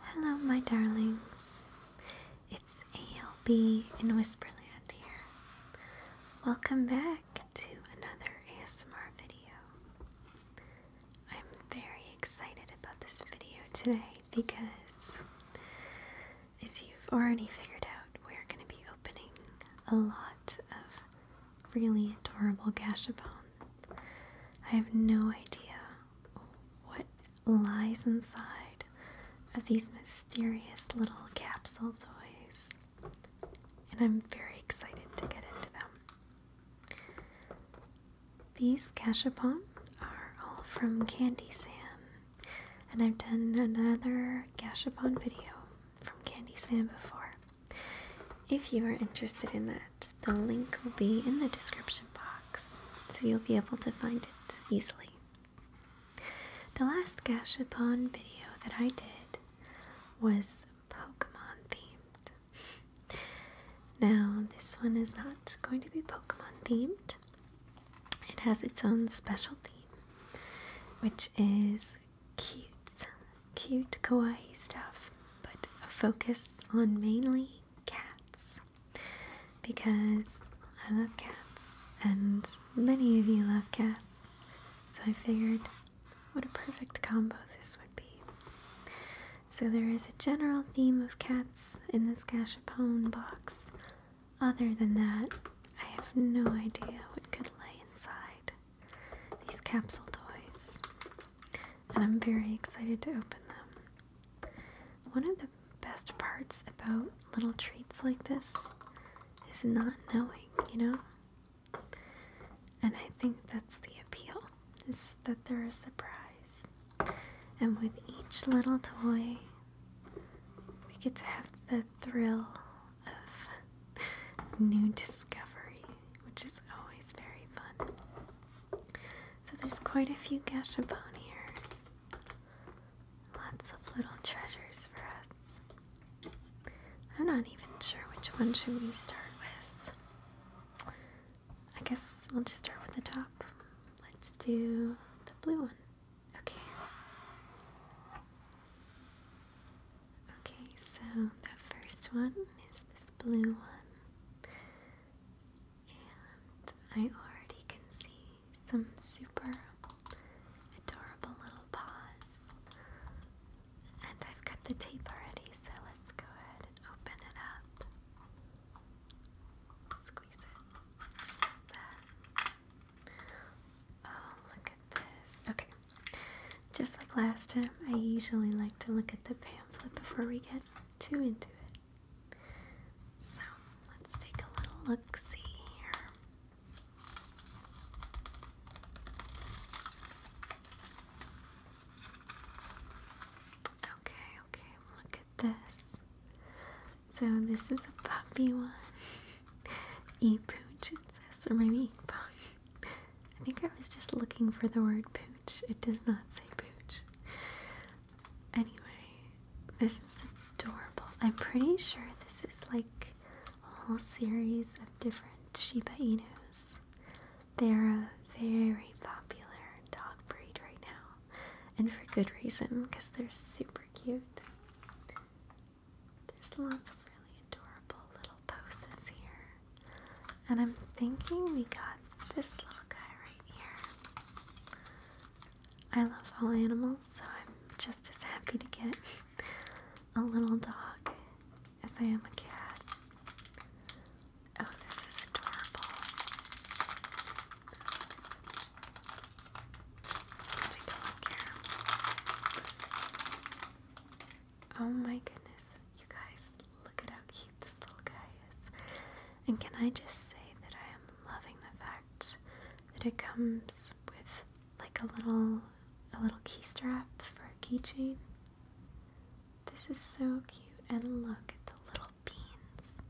Hello, my darlings. It's ALB in Whisperland here. Welcome back to another ASMR video. I'm very excited about this video today because, as you've already figured out, we're going to be opening a lot of really adorable Gashapon. I have no idea what lies inside of these mysterious little capsule toys. And I'm very excited to get into them. These Cachapon are all from Candy San, and I've done another gashapon video from Candy San before. If you are interested in that, the link will be in the description box, so you'll be able to find it easily. The last Gashapon video that I did was Pokemon themed. Now, this one is not going to be Pokemon themed, it has its own special theme, which is cute, cute kawaii stuff, but a focus on mainly cats because I love cats and many of you love cats. So I figured what a perfect combo this would be. So there is a general theme of cats in this gashapon box. Other than that, I have no idea what could lay inside these capsule toys. And I'm very excited to open them. One of the best parts about little treats like this is not knowing, you know? And I think that's the appeal, is that they're a surprise. And with each little toy, we get to have the thrill of new discovery, which is always very fun. So there's quite a few Gashapon here. Lots of little treasures for us. I'm not even sure which one should we start with. I guess we'll just start with the top. Let's do the blue one. Okay. Okay, so the first one is this blue one. And I already can see some super adorable little paws. And I've cut the tape already, so let's go ahead and open it up. Squeeze it just like that. Oh, look at this. Okay, just like last time, I usually like to look at the pamphlet before we get too into it. So let's take a little look see here. Okay, okay, look at this. So this is a puppy one. e pooch it or maybe I think I was just looking for the word poo. It does not say pooch. Anyway, this is adorable. I'm pretty sure this is like a whole series of different Shiba Inus. They're a very popular dog breed right now, and for good reason because they're super cute. There's lots of really adorable little poses here, and I'm thinking we got this little guy right here. I love all animals, so I'm just as happy to get a little dog as I am a cat. Oh, this is adorable. take a look here. Oh my goodness, you guys, look at how this little guy is. And can I just say that I am loving the fact that it comes with like a little a little key strap for a keychain. This is so cute and look at the little beans.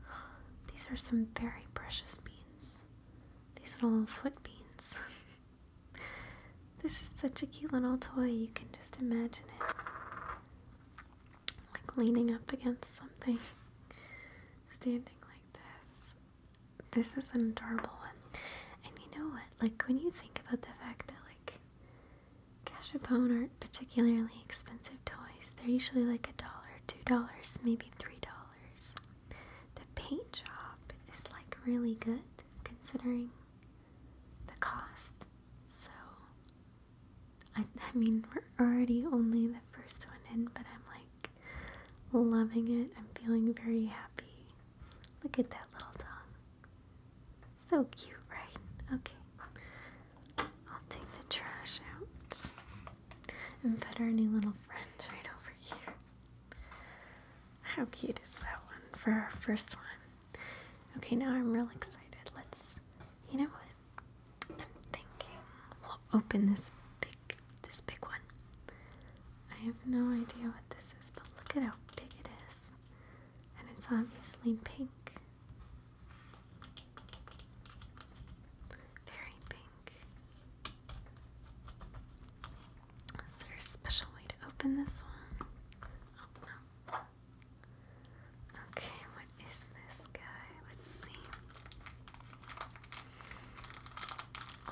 These are some very precious beans. These little foot beans. this is such a cute little toy. You can just imagine it like leaning up against something, standing like this. This is an adorable one. And you know what? Like, when you think about the fact that, like, cashew Cachapone aren't particularly expensive toys, they're usually like a dollar, two dollars, maybe three dollars. The paint job is like really good considering the cost. So I, I mean, we're already only the first one in, but I'm like loving it. I'm feeling very happy. Look at that little dog. So cute, right? Okay. I'll take the trash out and put our new little friend right over here. How cute is that one for our first one? Okay, now I'm real excited. Let's, you know what? I'm thinking we'll open this big this big one. I have no idea what this is, but look at how big it is. And it's obviously pink. Very pink. Is there a special way to open this one? Oh, Okay, what is this guy? Let's see.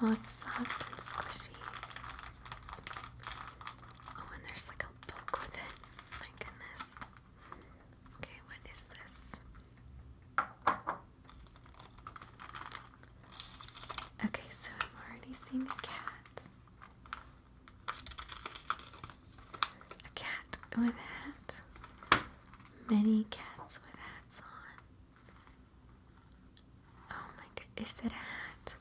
Oh, it's soft and squishy. Oh, and there's like a book with My goodness. Okay, what is this? Okay, so i have already seen a cat a cat with a hat. Many cats with hats on. Oh my god, is it a hat?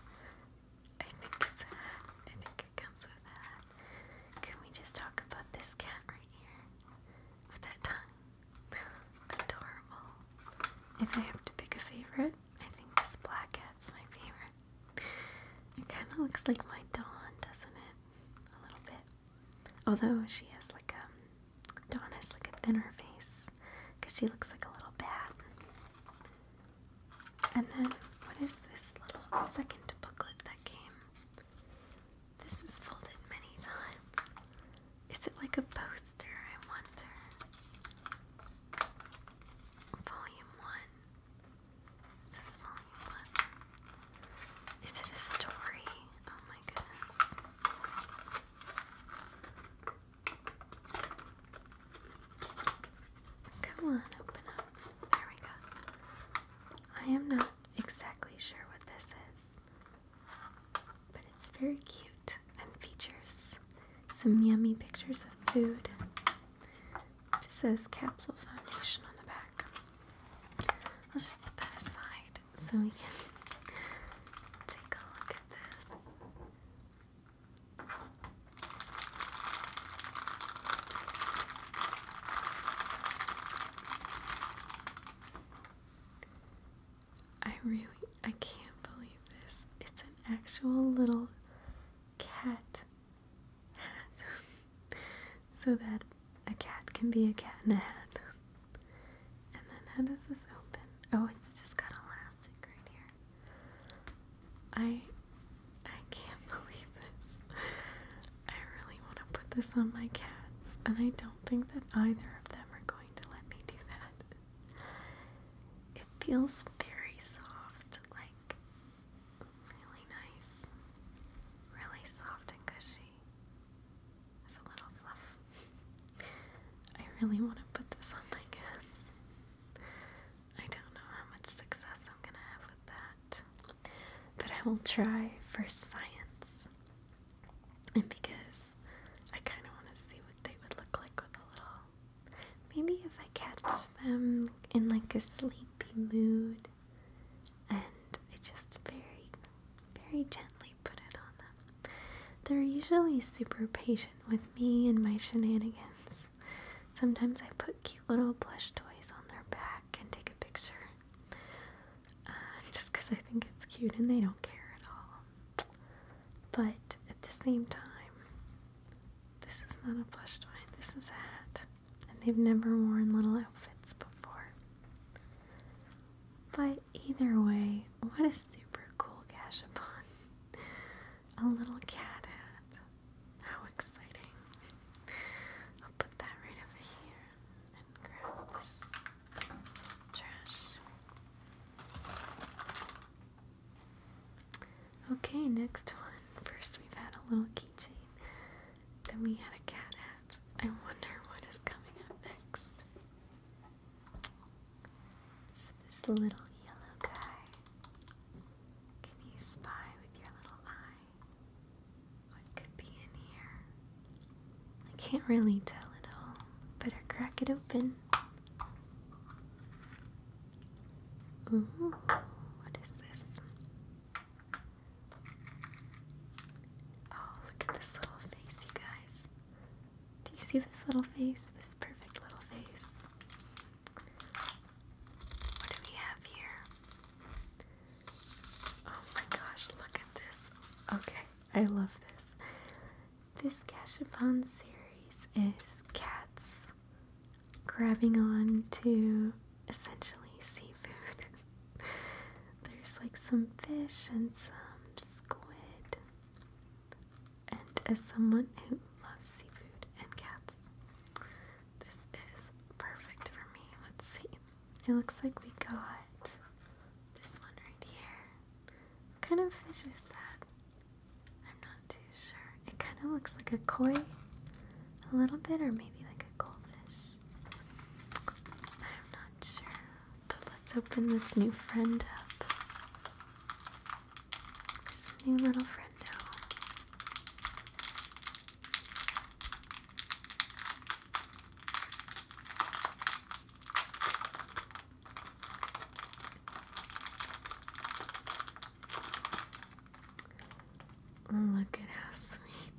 I think it's a hat. I think it comes with a hat. Can we just talk about this cat right here? With that tongue. Adorable. If I have to pick a favorite, I think this black cat's my favorite. It kind of looks like my Dawn, doesn't it? A little bit. Although she has like a um, Dawn has like a thinner face because she looks like a little bat. And then what is this little second booklet that came? This is folded many times. Is it like a poster? I wonder. Volume one. It says volume one. Is it a story? Oh my goodness. Come on, open up. There we go. I am not exactly sure what this is, but it's very cute and features some yummy pictures of food. It just says capsule foundation on the back. I'll just put that aside so we can take a look at this. I really, I can't believe this. It's an actual little cat hat. so that a cat can be a cat in a hat. And then how does this open? Oh, it's just got elastic right here. I I can't believe this. I really want to put this on my cats, and I don't think that either of them are going to let me do that. It feels very soft, like really nice, really soft and cushy. It's a little fluff. I really want to put this on my kids. I don't know how much success I'm gonna have with that. But I will try for science. And because I kind of want to see what they would look like with a little. Maybe if I catch them in like a sleepy mood, and I just very, very gently put it on them. They're usually super patient with me and my shenanigans. Sometimes I put cute little plush toys on their back and take a picture uh, just because I think it's cute and they don't care at all. But at the same time, this is not a plush toy, this is a hat. And they've never worn little outfits before. But either way, what a super cool gashapon. a little cat hat. How exciting. I'll put that right over here and grab this trash. Okay, next one. First, we've had a little keychain. Then we had a cat hat. I wonder what is coming up next. It's this little yellow guy. Can you spy with your little eye? What could be in here? I can't really tell at all. Better crack it open. Ooh, what is this? Oh, look at this little face, you guys. Do you see this little face? This perfect little face. What do we have here? Oh my gosh, look at this. Okay, I love this. This Gashapon series is cats grabbing on to essentially seafood. There's like some fish and some squid. And as someone who loves seafood and cats, this is perfect for me. Let's see. It looks like we got this one right here. What kind of fish is that? I'm not too sure. It kind of looks like a koi, a little bit, or maybe like a goldfish. I'm not sure, but let's open this new friend up. This new little friend now. Look at how sweet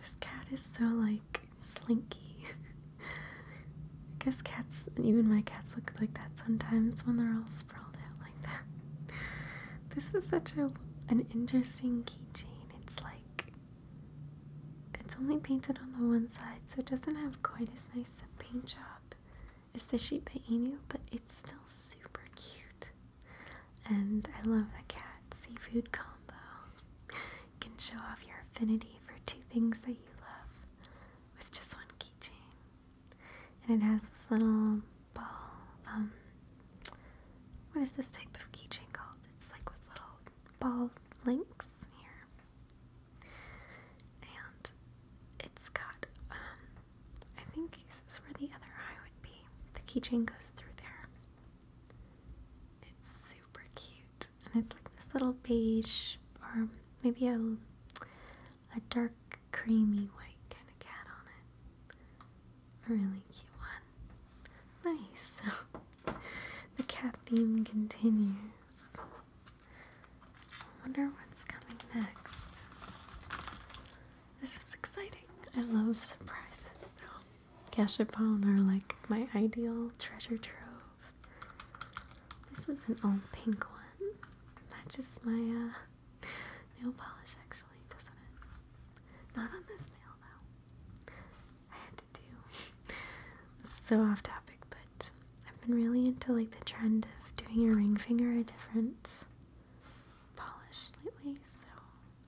this cat is so like slinky. I guess cats, and even my cats, look like that sometimes when they're all sprawled out like that. This is such a an interesting keychain. It's like it's only painted on the one side, so it doesn't have quite as nice a paint job It's the sheep by Inu, but it's still super cute. And I love the cat seafood combo can show off your affinity for two things that you love with just one keychain. And it has this little ball. Um, what is this type of keychain called? It's like with little ball links here. And it's got, um, I think this is where the other eye would be. The keychain goes through there. It's super cute, and it's like this little beige, or maybe a a dark creamy white kind of cat on it. A really cute one. Nice. the cat theme continues. I wonder what's coming next. This is exciting. I love surprises so. Gashapon are like my ideal treasure trove. This is an old pink one. just my uh, nail polish actually, doesn't it? Not on this nail though. I had to do. so off topic, but I've been really into like the trend of doing your ring finger a different polish lately, so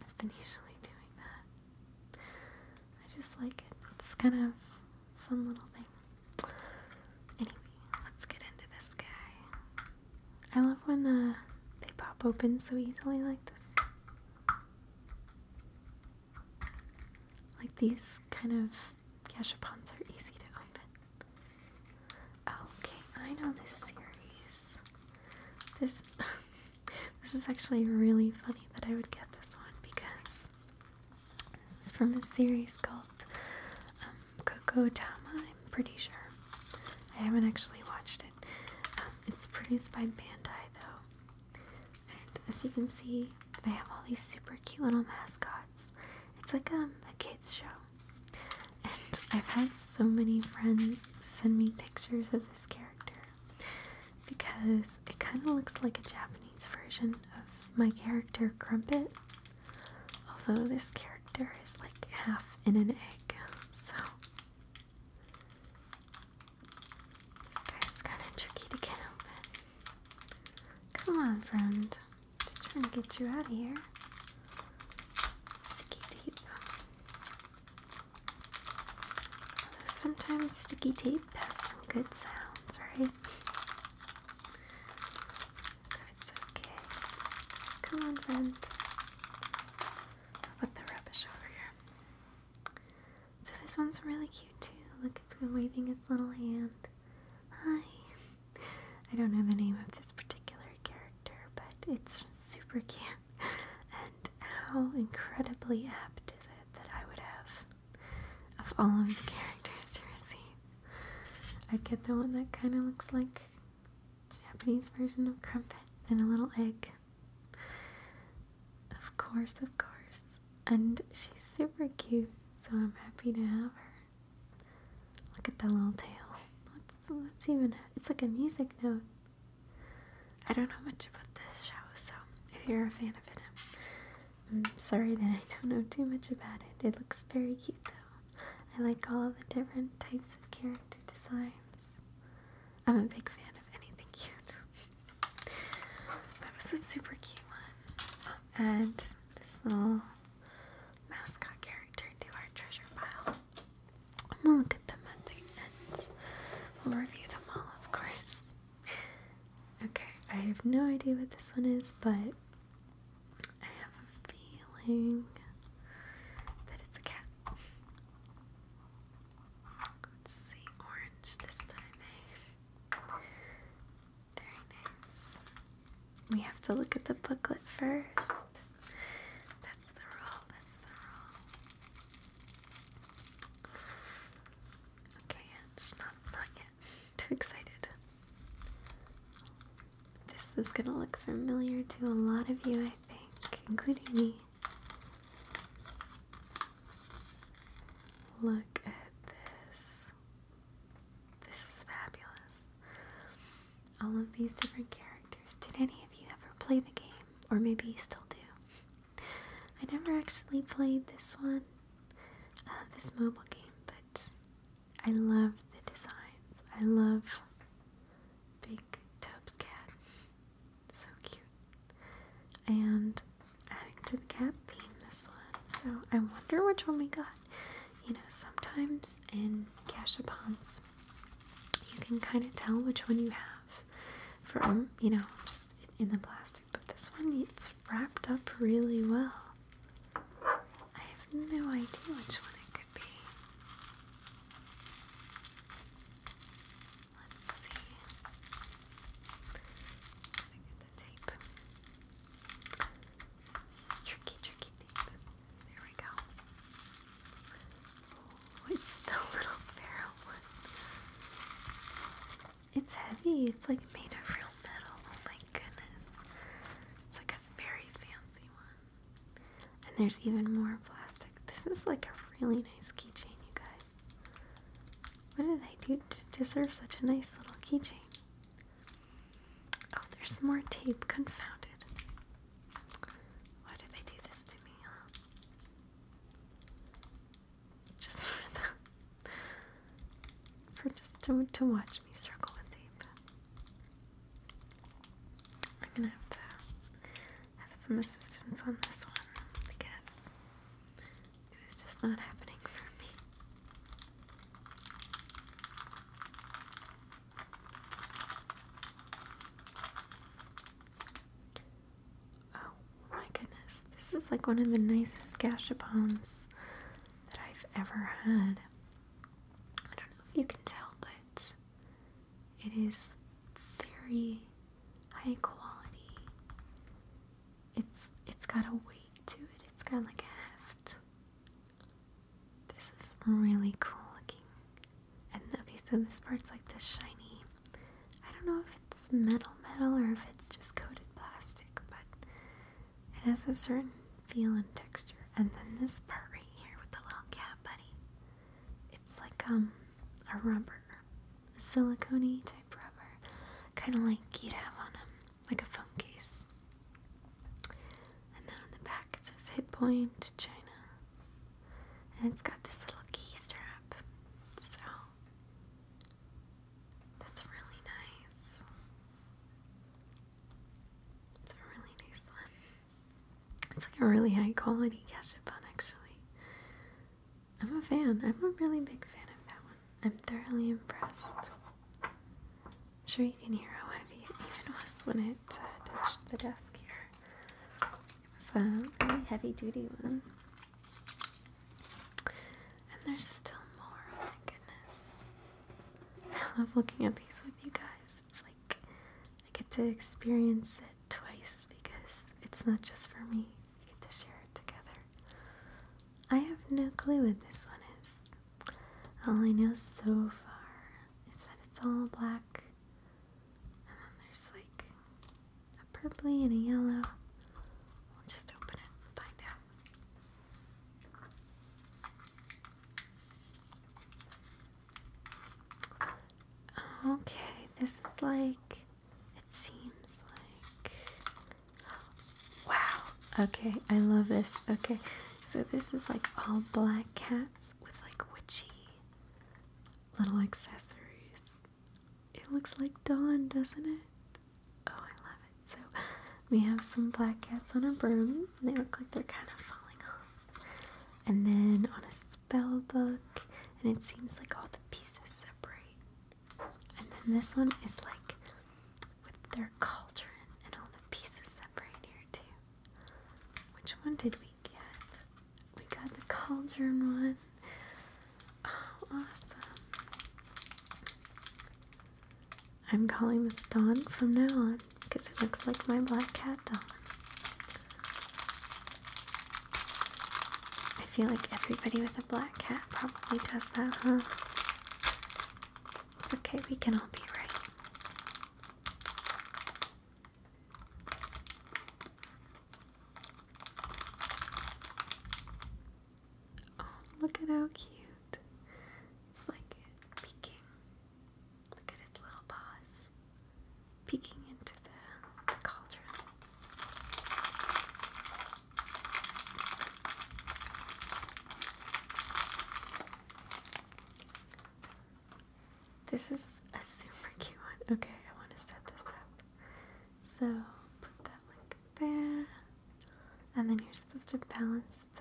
I've been usually doing that. I just like it. It's kind of fun little thing. Anyway, let's get into this guy. I love when uh, they pop open so easily like this. Like these kind of gashapons are easy to open. Okay, I know this series. This This is actually really funny that I would get this one because this is from a series called um, Coco Tama. I'm pretty sure. I haven't actually watched it. Um, it's produced by Bandai though. And as you can see, they have all these super cute little mascots. It's like um, a kids show. And I've had so many friends send me pictures of this character because it kind of looks like a Japanese version of my character Crumpet. Although this character is like half in an egg, so this kind of tricky to get open. Come on, friend. Just trying to get you out of here. Sticky deep. Sometimes sticky tape has some good sounds, right? So it's okay. Come on, friend. put the rubbish over here. So this one's really cute too. Look, it's waving its little hand. Hi. I don't know the name of this particular character, but it's super cute and how incredibly apt is it that I would have, of all of the characters to receive, I'd get the one that kind of looks like Japanese version of Crumpet and a little egg. Of course, of course. And she's super cute, so I'm happy to have her. Look at that little tail. What's, what's even? It's like a music note. I don't know much about this show, so if you're a fan of it, I'm, sorry that I don't know too much about it. It looks very cute though. I like all of the different types of character designs. I'm a big fan of anything cute. that was a super cute one. And this little mascot character to our treasure pile. I'm gonna look at them at the end. We'll review them all, of course. Okay, I have no idea what this one is, but I have a feeling that it's a cat. Let's see, orange this time. Eh? Very nice. We have to look at the booklet first. That's the rule, that's the rule. Okay, and not not yet. Too excited. This is gonna look familiar to a lot of you, I think, including me. Look at this. This is fabulous. All of these different characters. Did any of you ever play the game? Or maybe you still do. I never actually played this one, uh, this mobile game, but I love the designs. I love Big Tub's cat. So cute. And adding to the cat theme this one. So I wonder which one we got. You know, sometimes in gashapons you can kind of tell which one you have from, you know, just in the plastic. But this one, it's wrapped up really well. I have no idea which one it could be. Let's see. got the tape. It's tricky, tricky tape. There we go. Oh, it's the little feral one. It's heavy. It's like made of real metal. Oh my goodness. It's like a very fancy one. And there's even more plastic. This is like a really nice keychain, you guys. What did I do to deserve such a nice little keychain? Oh, there's more tape. Confounded. Why do they do this to me, just for for just to to watch me circle the tape. I'm gonna have to have some assistance on this one because it was just not happening for me. Oh my goodness, this is like one of the nicest gashapons that I've ever had. I don't know if you can tell, but it is very high quality. It's it's got a weight to it. It's got like a heft. This is really cool looking. And okay, so this part's like this shiny. I don't know if it's metal metal or if it's just coated plastic, but it has a certain feel and texture. And then this part right here with the little cap, buddy. It's like um a rubber. A silicone type rubber. Kinda like you'd have on a um, like a phone case. And then on the back it says hit point China. And it's got this little key strap. So that's really nice. It's a really nice one. It's like a really high quality cashew bun, actually. I'm a fan. I'm a really big fan of that one. I'm thoroughly impressed. I'm sure you can hear how heavy it even was when it uh, touched the desk here. It was a really heavy duty one. And there's still more, oh my goodness. I love looking at these with you guys. It's like I get to experience it twice because it's not just for me. We get to share it together. I have no clue what this one is. All I know so far is that it's all black. And then there's like a purpley and a yellow. We'll just open it find out. Okay, this is like, it seems like, wow, okay, I love this, okay, so this is like all black cats with like witchy little accessories, it looks like dawn, doesn't it? Oh, I love it. So we have some black cats on a broom. They look like they're kind of falling off. And then on a spell book, and it seems like all the pieces separate. And then this one is like with their cauldron and all the pieces separate here too. Which one did we get? We got the cauldron one. Oh, awesome. I'm calling this Don from now on because it looks like my black cat Don. I feel like everybody with a black cat probably does that, huh? It's okay, we can all be right. Oh, look at how cute. It's like peeking. Look at its little paws peeking into the, the cauldron. This is a super cute one. Okay, I want to set this up. So put that link there. And then you're supposed to balance the.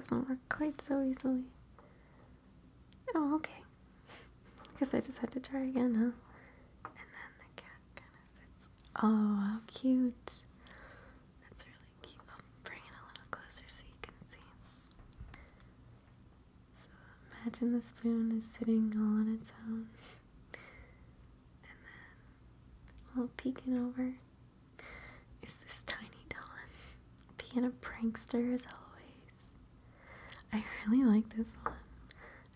doesn't work quite so easily. Oh, okay. I guess I just had to try again, huh? And then the cat kind of sits. Oh, how cute. That's really cute. bring it a little closer so you can see. So imagine the spoon is sitting all on its own. And then, little peeking over, is this Tiny doll being a prankster as always. I really like this one.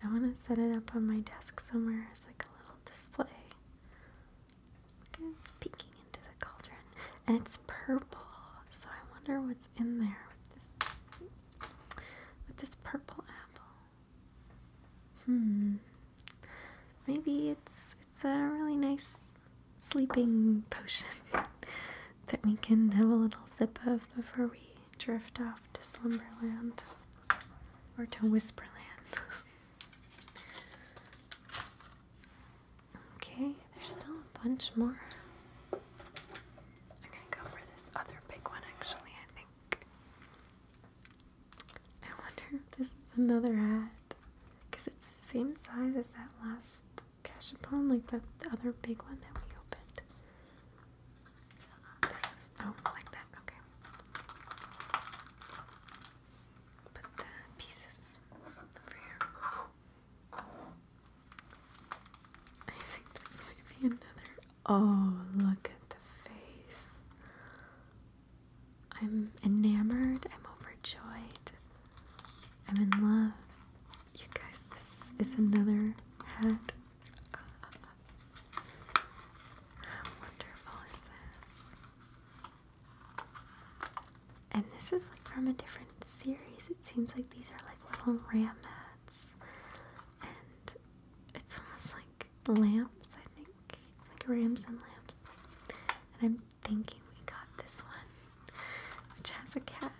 I want to set it up on my desk somewhere as like a little display. Look it's peeking into the cauldron, and it's purple. So I wonder what's in there with this with this purple apple. Hmm. Maybe it's it's a really nice sleeping potion that we can have a little sip of before we drift off to Slumberland or to Whisperland. okay, there's still a bunch more. I'm gonna go for this other big one actually. I think I wonder if this is another hat. Because it's the same size as that last cash cashapon, like the, other big one that we opened. This is, oh, like that, okay. Put the pieces over here. I think this might be another Oh, look at the face. I'm enamored. I'm overjoyed. I'm in love. You guys, this is another hat. how wonderful is this? And this is like from a different series. It seems like these are like little ram hats and it's almost like lamps, I think. Like rams and lamps. And I'm thinking we got this one, which has a cat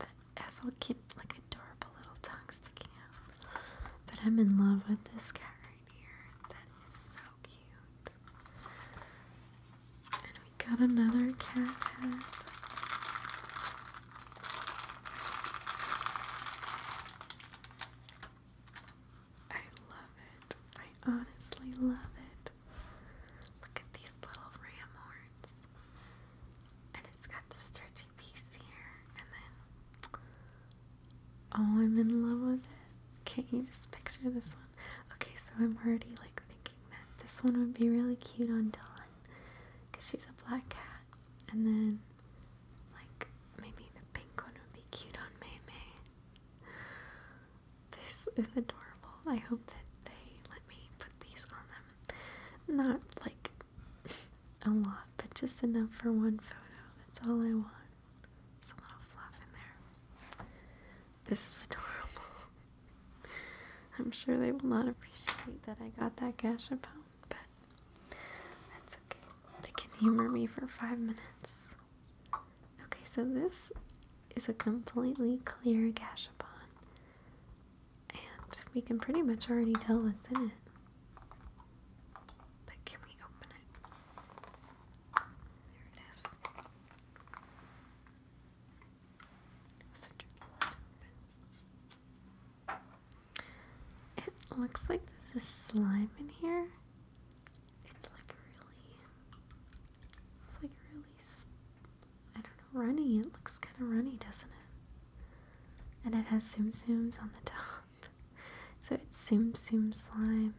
that has a kid, like adorable little tongue sticking out. But I'm in love with this cat right here. That is so cute. And we got another cat hat. I love it. I honestly love it. Look at these little ram horns. And it's got the stretchy piece here. And then. Oh, I'm in love with it. Can't you just picture this one? Okay, so I'm already like thinking that this one would be really cute on Dawn. Because she's a black cat. And then like, maybe the pink one would be cute on Mei This is adorable. I hope that they let me put these on them. Not like a lot, but just enough for one photo. That's all I want. There's a little fluff in there. This is adorable. I'm sure they will not appreciate that I got that gashapon but that's okay. They can humor me for five minutes. Okay, so this is a completely clear gashapon, and we can pretty much already tell what's in it. can we open it? There it is. It a tricky one it looks like this is slime in here. It's like really, it's like really, I don't know, runny. It looks kind of runny, doesn't it? And it has zoom zooms on the top. So it's zoom zoom slime.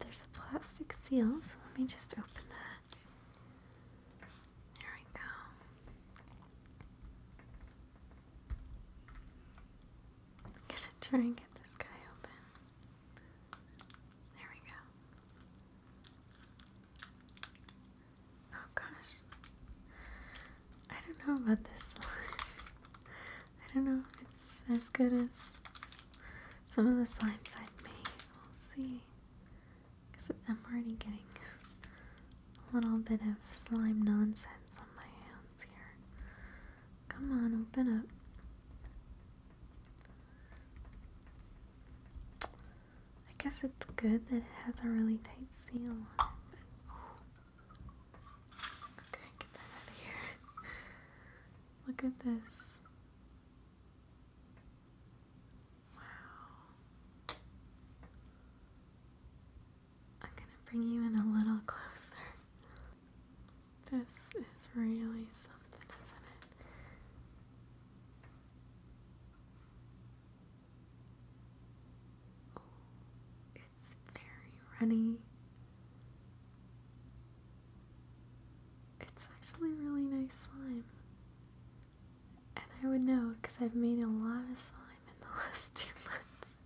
There's a plastic seal, so let me just open that. There we go. I'm gonna try and get this guy open. There we go. Oh gosh. I don't know about this slime. I don't know if it's as good as some of the slimes I've made. We'll see. Because I'm already getting little bit of slime nonsense on my hands here. Come on, open up. I guess it's good that it has a really tight seal on it. Okay, get that out of here. Look at this. Wow. I'm gonna bring you in a little closer. This is really something, isn't it? it's very runny. It's actually really nice slime. And I would know because I've made a lot of slime in the last two months.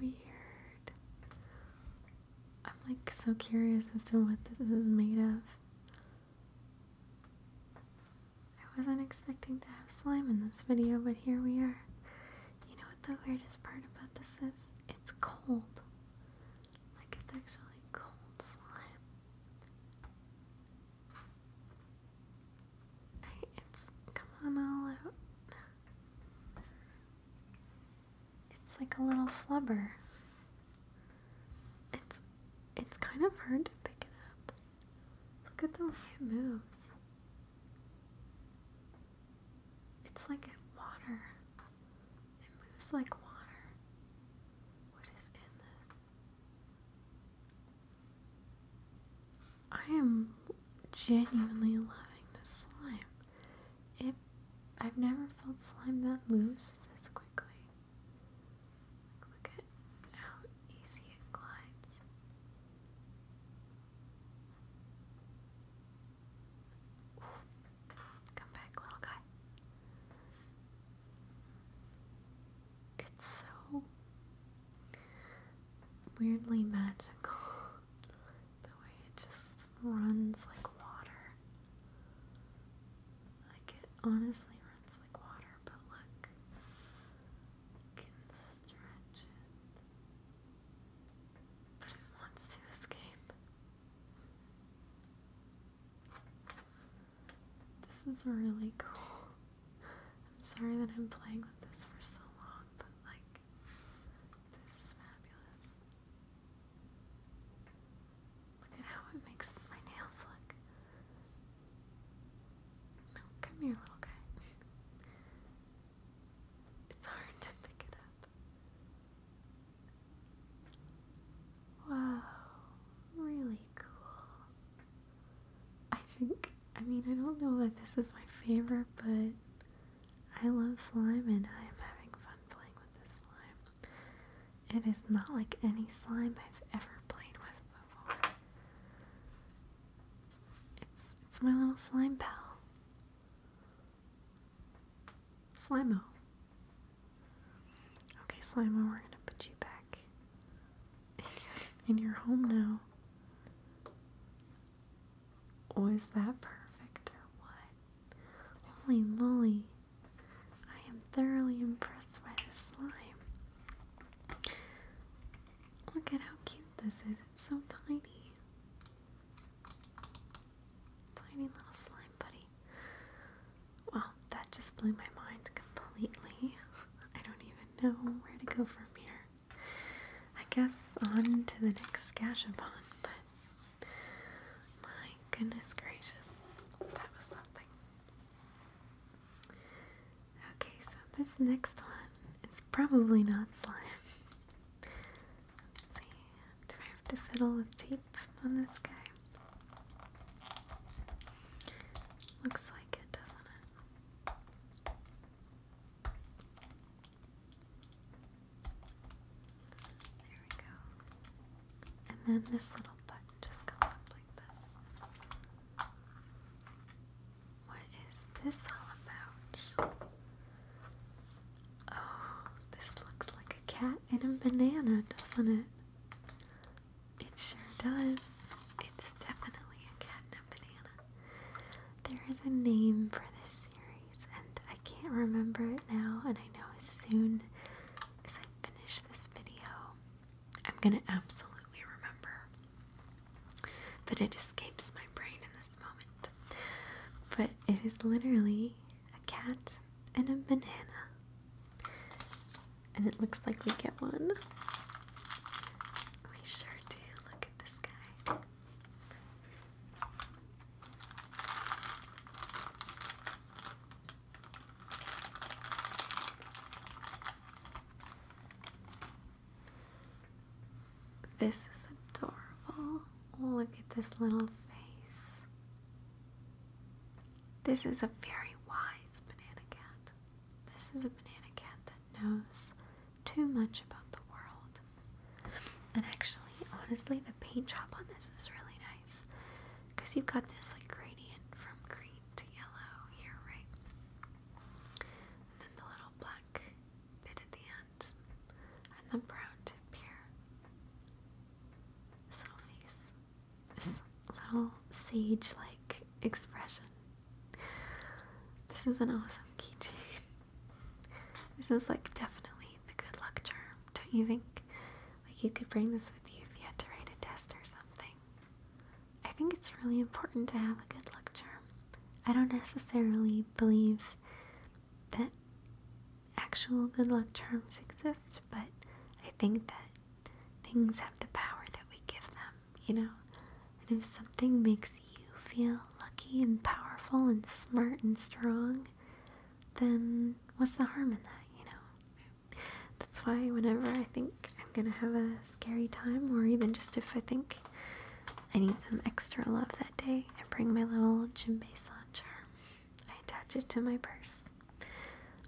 weird. I'm like so curious as to what this is made of. I wasn't expecting to have slime in this video, but here we are. You know what the weirdest part about this is? It's cold. Like, it's actually cold slime. It's come on all out. It's like a little flubber. It's it's kind of hard to pick it up. Look at the way it moves. It's like water. It moves like water. What is in this? I am genuinely loving this slime. It I've never felt slime that loose this quickly. look at how easy it glides. Come back, little guy it's so weirdly magical the way it just runs like water. Like it honestly runs like water, but look, can stretch it. But it wants to escape. This is really cool. I'm sorry that I'm playing with this for so long, but like, this is fabulous. Look at how it makes my nails look. No, come here, little guy. it's hard to pick it up. Wow, really cool. I think, I mean, I don't know that this is my favorite, but I love slime and I am having fun playing with this slime. It is not like any slime I've ever played with before. It's, it's my little slime pal. Slimo. Okay, Slimo, we're gonna put you back in your home now. Was that perfect or what? Holy moly. I am thoroughly impressed by this slime. Look at how cute this is. It's so tiny. Tiny little slime buddy. Well, that just blew my mind completely. I don't even know where to go from here. I guess on to the next Gashapon, but my goodness gracious, that was something. Okay, so this next one its probably not slime. see, do I have to fiddle with tape on this guy? Looks like it, doesn't it? There we go. And then this little button just comes up like this. What is this all about? Oh, this looks like a cat and a banana, doesn't it? It sure does. It's definitely a cat and a banana. There is a name for this series, and I can't remember it now. And I know as soon as I finish this video, I'm gonna absolutely remember. But it escapes my brain in this moment. But it is literally a cat and a banana and it looks like we get one. We sure do. Look at this guy. This is adorable. Look at this little face. This is a very wise banana cat. This is a banana cat that knows too much about the world. And actually, honestly, the paint job on this is really nice. Because you've got this like gradient from green to yellow here, right? And then the little black bit at the end. And the brown tip here. This little face this little sage-like expression. This is an awesome keychain. This is like definitely the good luck charm, don't you think? Like you could bring this with you if you had to write a test or something. I think it's really important to have a good luck charm. I don't necessarily believe that actual good luck charms exist, but I think that things have the power that we give them, you know? And if something makes you feel lucky and powerful and smart and strong, then what's the harm in that, you know? That's why whenever I think I'm gonna have a scary time, or even just if I think I need some extra love that day, I bring my little Jimbei launcher. I attach it to my purse.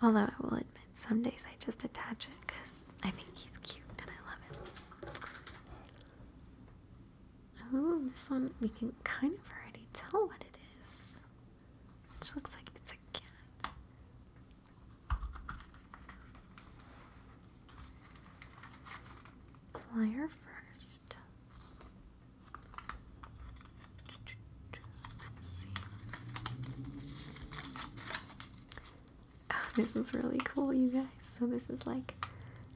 Although I will admit, some days I just attach it because I think he's cute and I love him. Oh, this one we can kind of already tell what it is. Which looks like it's a cat. Flyer 1st see. Oh, this is really cool, you guys. So, this is like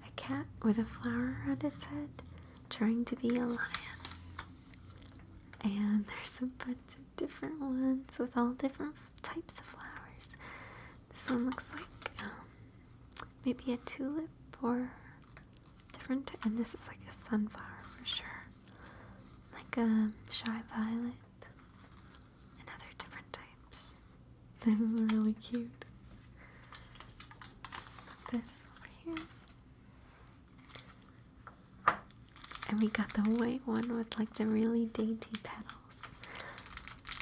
a cat with a flower on its head trying to be a lion. And there's a bunch of different ones with all different types of flowers. This one looks like um, maybe a tulip or different. And this is like a sunflower for sure, like a um, shy violet and other different types. This is really cute. This over here. And we got the white one with like the really dainty petals.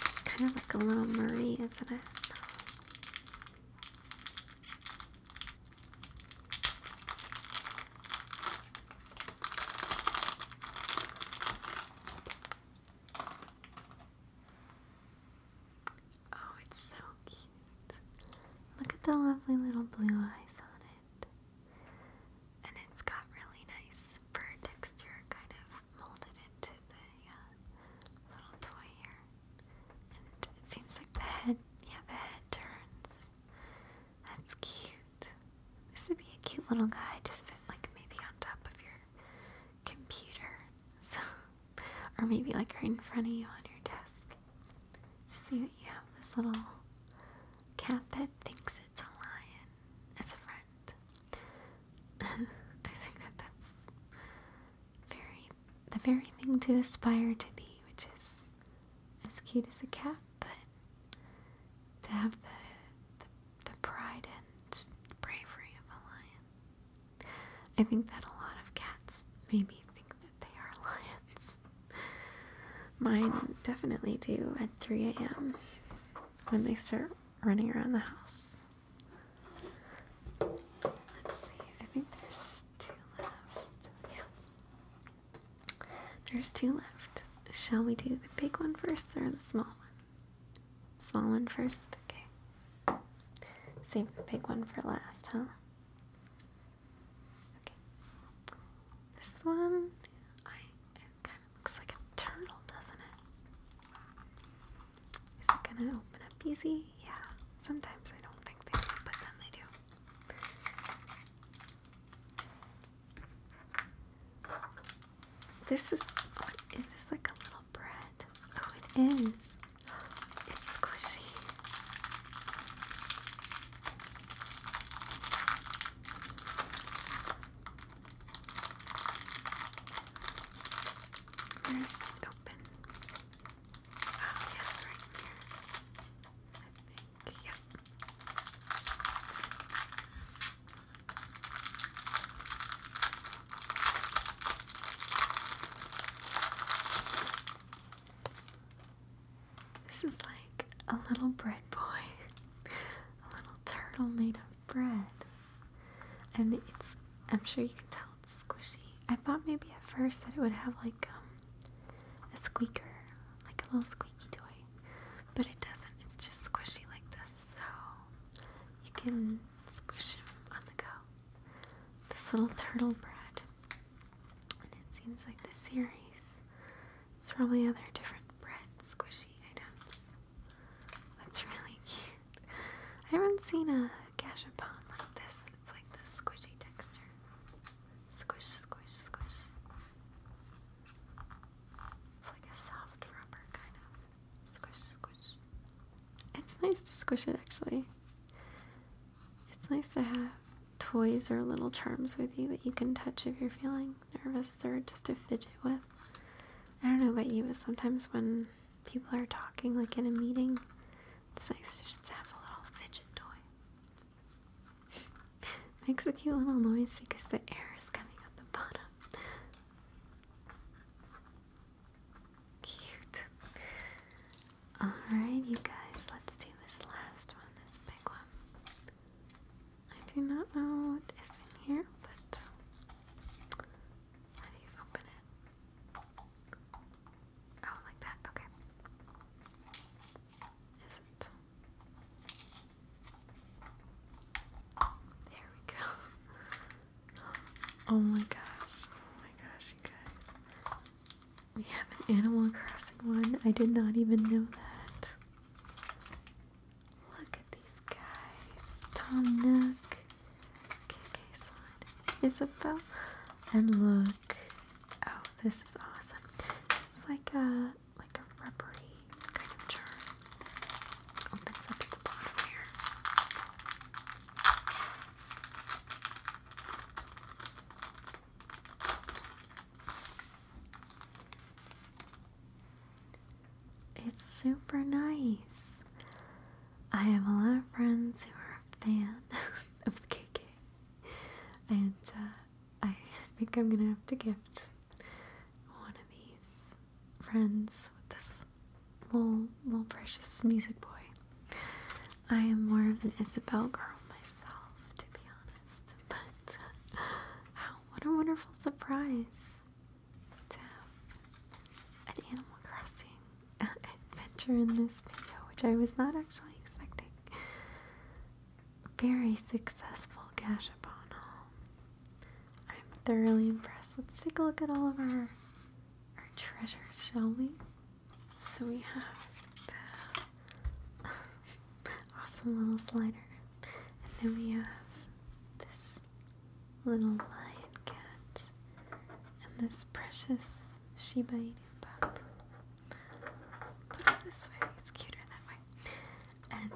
It's kind of like a little Marie, isn't it? Oh, it's so cute. Look at the lovely little blue eyes on it. And it's got really nice fur texture kind of molded into the uh, little toy here. And it seems like the head, yeah, the head turns. That's cute. This would be a cute little guy to sit like maybe on top of your computer. or maybe like right in front of you on your desk. Just see that you have this little cat that thinks it's a lion as a friend. I think that that's very the very thing to aspire to be, which is as cute as a cat but to have the, the, pride and bravery of a lion. I think that a lot of cats maybe think that they are lions. Mine definitely do at 3 a.m. when they start running around the house. Let's see, I think there's two left. Yeah. There's two left. Shall we do the big one first or the small one? Small one first? Okay. Save the big one for last, huh? Okay. This one, I, kind of looks like a turtle, doesn't it? Is it gonna open up easy? Yeah. Sometimes I don't think they do, but then they do. This is, what, is this like a little bread? Oh, it is. It's squishy. Where's the open? Oh, yes, right here. This is like a little bread boy, a little turtle made of bread, and it's. I'm sure you can tell it's squishy. I thought maybe at first that it would have like um, a squeaker, like a little squeaky toy, but it doesn't. It's just squishy like this, so you can squish him on the go. This little turtle bread, it seems like the series. There's probably other different bread squishy items. That's really cute. I haven't seen a gashapon like this. It's like the squishy texture. Squish, squish, squish. It's like a soft rubber kind of. Squish, squish. It's nice to squish it actually. It's nice to have toys or little charms with you that you can touch if you're feeling nervous or just to fidget with. I don't know about you, but sometimes when people are talking, like in a meeting, it's nice to just have a little fidget toy. Makes a cute little noise because the air is coming out the bottom. Cute. Alright, you guys, let's do this last one, this big one. I do not know what is in here, but how do you open it? Oh, like that, okay. Is it? There we go. Oh my gosh. Oh my gosh, you guys. We have an Animal Crossing one. I did not even know that. Look at these guys. Tom Nook. KK Slide. Isabel. And look. Oh, this is awesome. This is like a like a rubbery kind of jar. Opens up the bottom here. It's super nice. I have a lot of friends who are a fan of the KK, and uh, I think I'm gonna have to gift one of these friends with this little, little precious music boy. I am more of an Isabel girl myself, to be honest, but what a wonderful surprise to have an Animal Crossing adventure in this video, which I was not actually expecting very successful Gashapon I'm thoroughly impressed. Let's take a look at all of our our treasures, shall we? So we have the awesome little slider. And then we have this little lion cat and this precious Shiba Inu pup. Put it this way, it's cuter that way and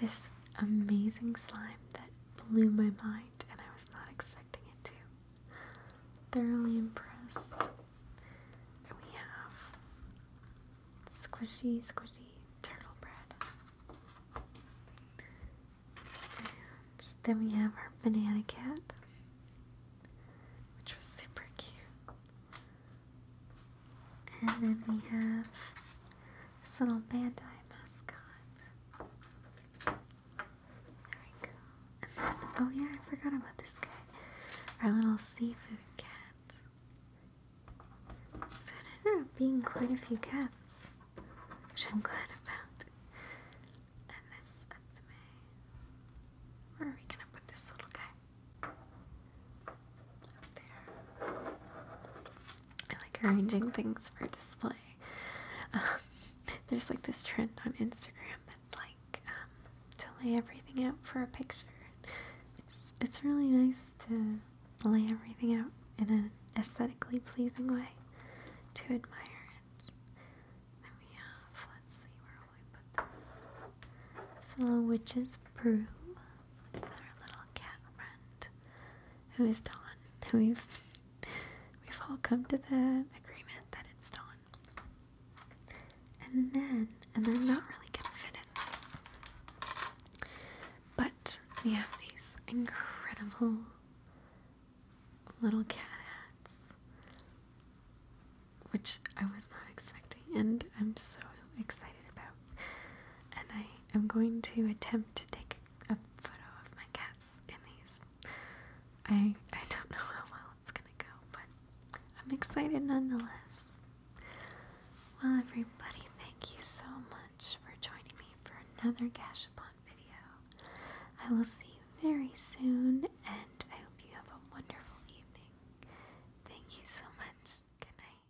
this amazing slime that blew my mind, and I was not expecting it to. Thoroughly impressed. And we have squishy, squishy turtle bread. And then we have our banana cat, which was super cute. And then we have this little Bandai mascot. There we go. oh yeah, I forgot about this guy. Our little seafood cat. So it ended up being quite a few cats, which I'm glad about. And this Where are we gonna put this little guy? Up there. I like arranging things for display. Um, there's like this trend on Instagram that's like um, to lay everything out for a picture. It's it's really nice to lay everything out in an aesthetically pleasing way to admire it. Then we have let's see where we put this. This witch's brew with our little cat friend who is Dawn. we've we've all come to the agreement that it's Dawn. And then, and they're not really gonna fit in this. But we have these incredible little cat hats, which I was not expecting, and I'm so excited about and I am going to attempt to take a photo of my cats in these. I I don't know how well it's gonna go, but I'm excited nonetheless. Well, everybody, thank you so much for joining me for another Gashapon video. I will see you very soon, and I hope you have a wonderful evening. Thank you so much. Good night.